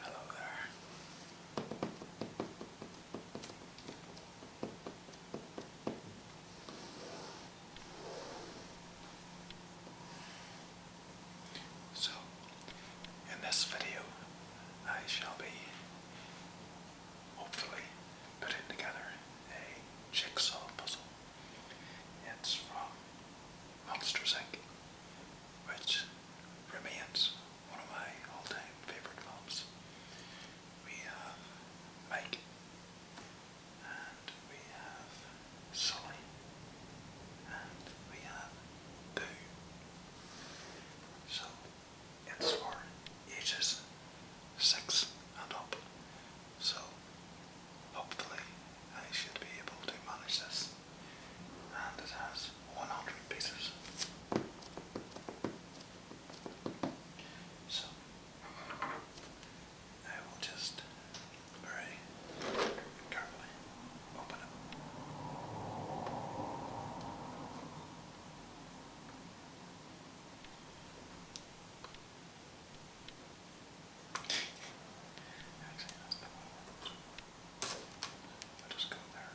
Hello there. So, in this video, I shall be hopefully putting together a jigsaw puzzle. It's from Monsters Inc., which remains one of my all time favorite films. We have Mike, and we have Sully, and we have Boo. So it's for ages six and up, so hopefully I should be able to manage this. And it has 100 pieces. So I will just very carefully open it. Actually, that's the one. I'll just go there. Okay.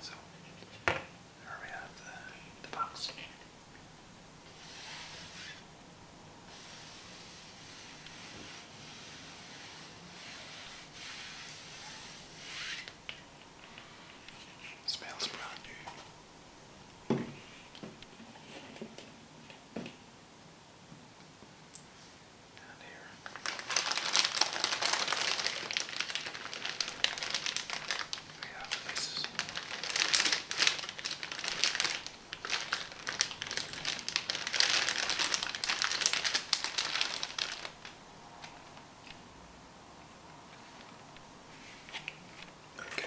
So, there we have the, the box. Smells brand new down here. We have this. Okay.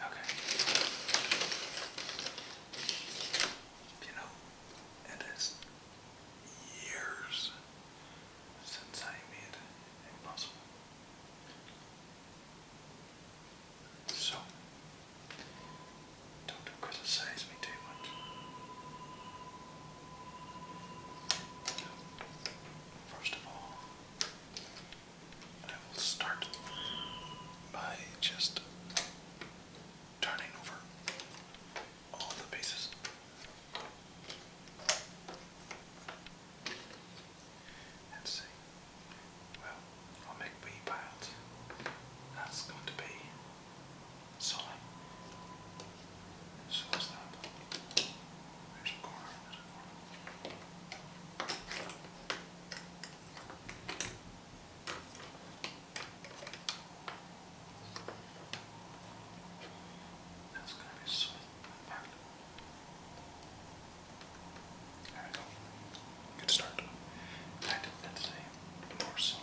Okay. You know, it is years since I made a puzzle. So, don't criticize me too much. First of all, I will start by just turning over all the pieces. Let's see. Well, I'll make wee piles. That's going to be Sully. Sully's not. There's There's a That's going to be so perfect. There we go. Good start. I did that today. More slowly.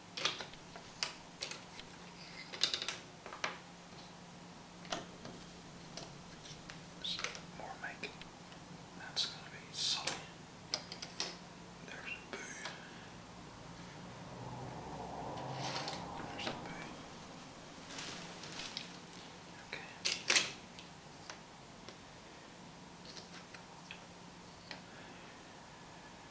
So more making. That's gonna be solid. There's a boo. There's a boo. Okay.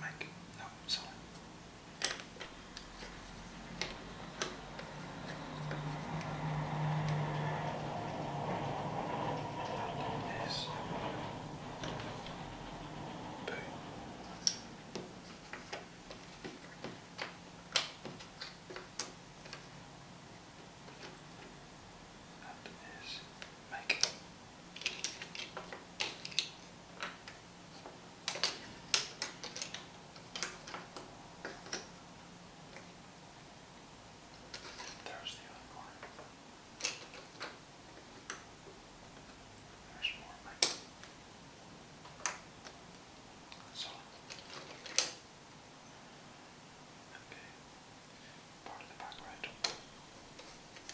Mike, no, sorry. Yes. Boo. That is making. There's the other card. There's more money. That's all. Okay. Part of the back right.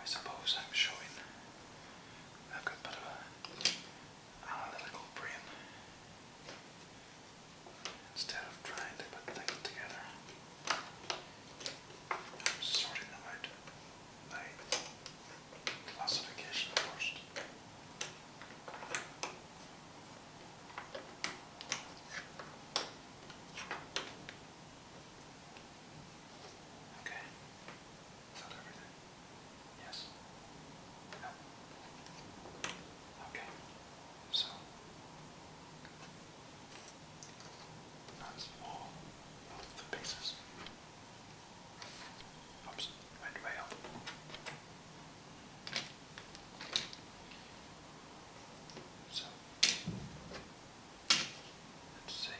I suppose I'm showing a good bit of analytical brain instead of trying to put things together. I'm sorting them out by classification first. Okay. Is everything? Yes. No. Okay. So that's all the pieces. Oops, went way up. So Let's see.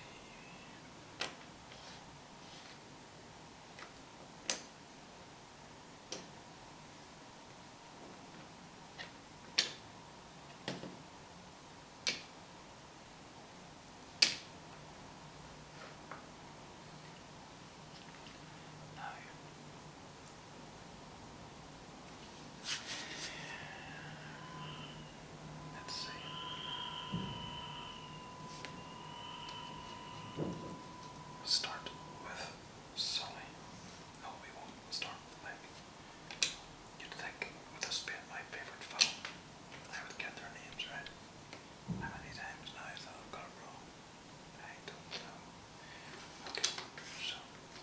No. Let's see. start with Sully. No, we won't. start with Link. You'd think this being my favorite film, I would get their names right. How many times now that i got it wrong? I don't know. Okay, so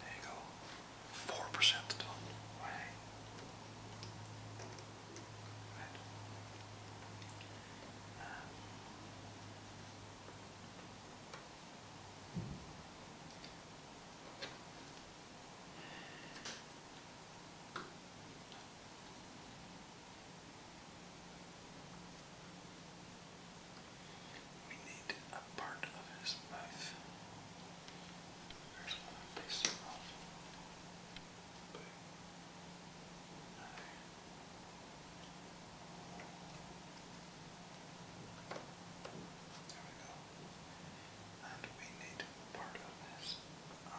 There you go. Four percent done. Right. right. We need a part of his mouth. There's one piece of mouth. But There we go. And we need part of his eye.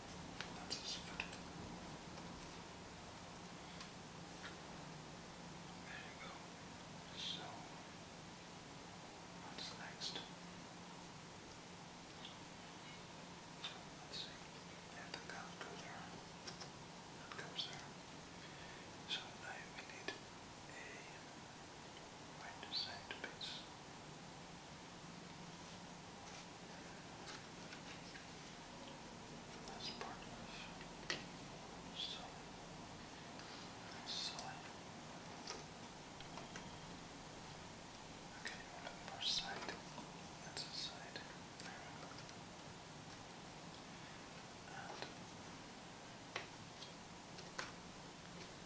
That's There you go. So, what's next? So, let's see. Yeah, the gun goes there. That comes there. So now we need a right side piece. That's part of so silly. Okay, you want side. That's a side. There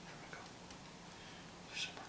we go. And there we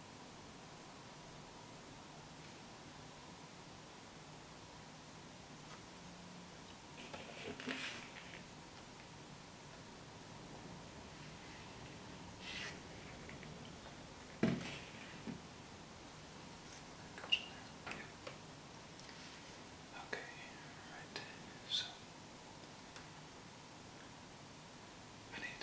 Okay, right, so I need a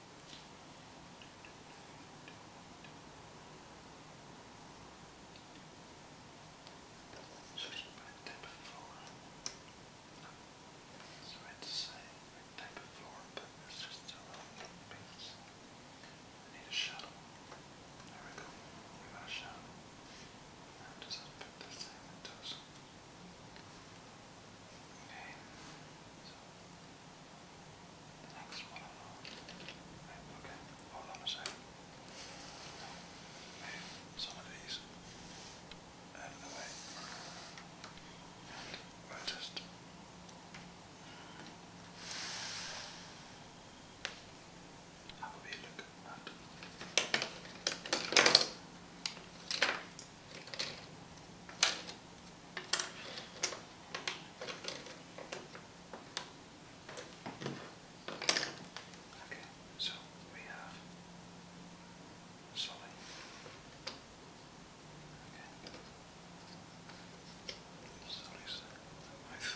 Switching back type to say type of but it's just a little piece. I need a shuttle. There we go. We got a shuttle. does that fit this thing? does. Okay. The next one. Okay, hold on a second. Move some of these out of the way. And we'll just have a wee look at that. Okay. Okay, so we have solid. Okay. So is knife.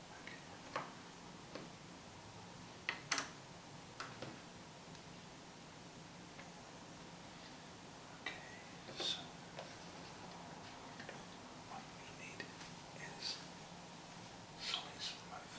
Okay, so what we need is slice of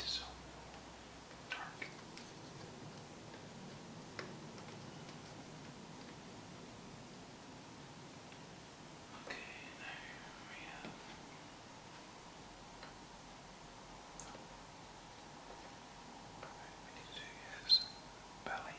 It's so dark. Okay, there we have. we need to do his belly.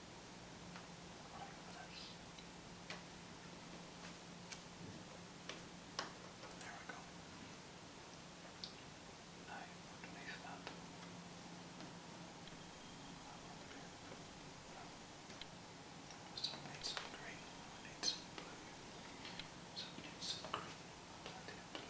There we go. Now underneath that. So I need some green, I need some blue. So I need some green, plenty of blue.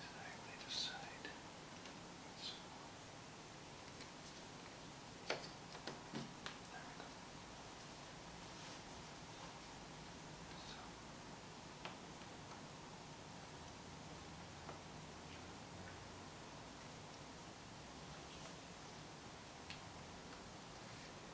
and I lay aside. So, there we go. So. There we go.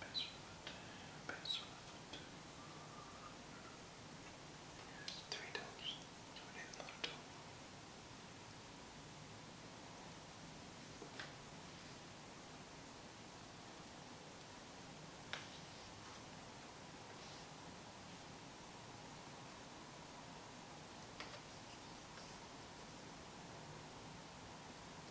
Password, password. There's three tools, so we need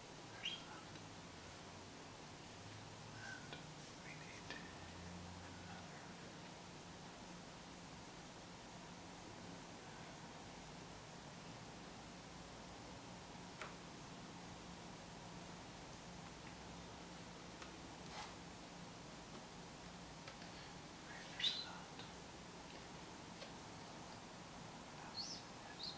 there's nothing. And we need another. Right, there's not. Yes, yes. Right,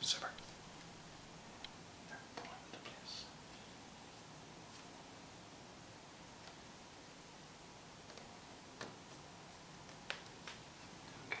Super. They're pulling the place. Okay.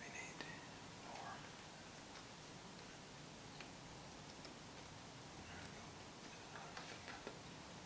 We need more. There we go.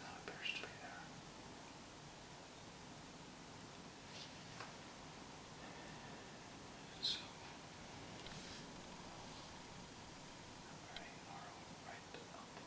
That appears to be there. So, very narrow right up one. Right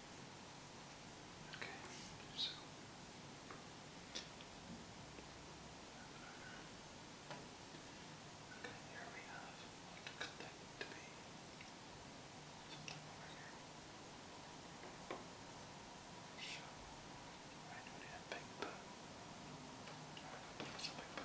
Okay, so okay, here we have what to that be something over here. So I a big bow. I'm gonna a big bow.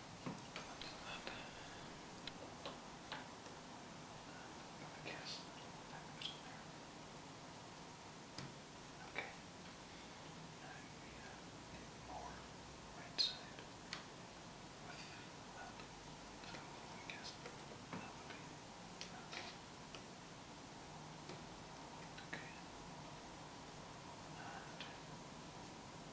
I guess there. Okay. Now we have the more right side with that. So I guess that would be that. Okay. And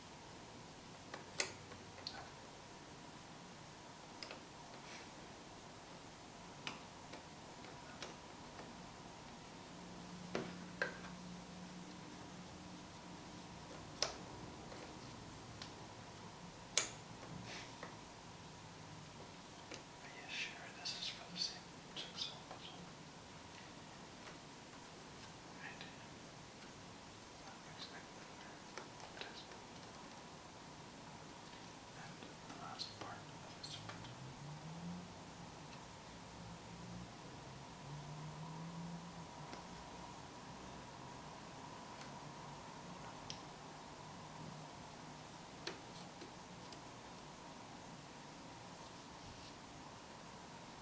Are you sure this is for the same jigsaw puzzle? Right. And the uh, last part of his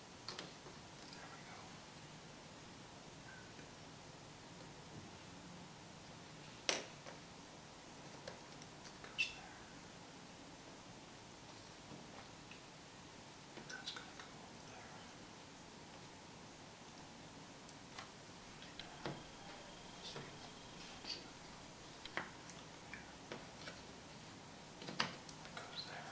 There we go. Goes there. That's gonna go over there. See? See? That goes there.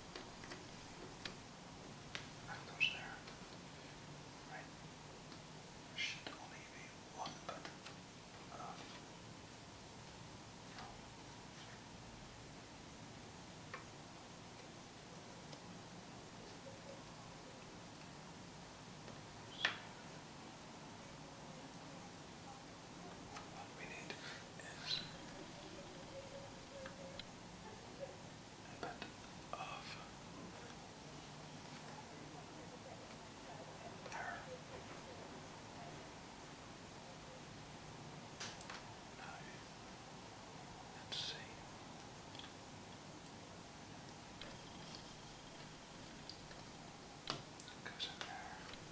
That goes there. Right. Should only be one, but what we need but of her. let's see. It there.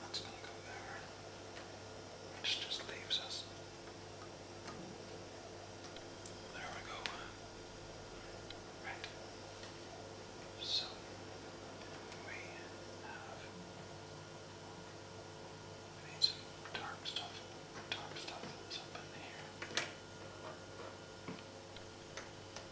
That's gonna go there. Which just leaves us. There we go. Right. So we have we need some dark stuff. Dark stuff is up in here.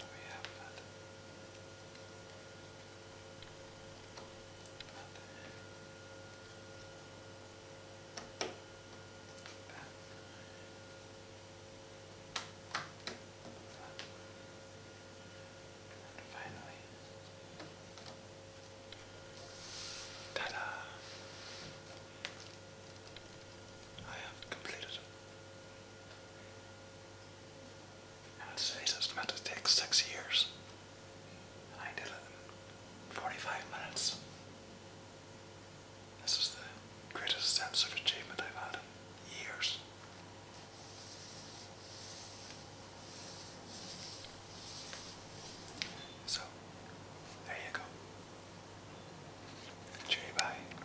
We have that. that. Uh, and finally, ta-da! I have completed and today it's meant to take six years. I did it in 45 minutes. This is the greatest sense of achievement I've had in years. So, there you go. bye.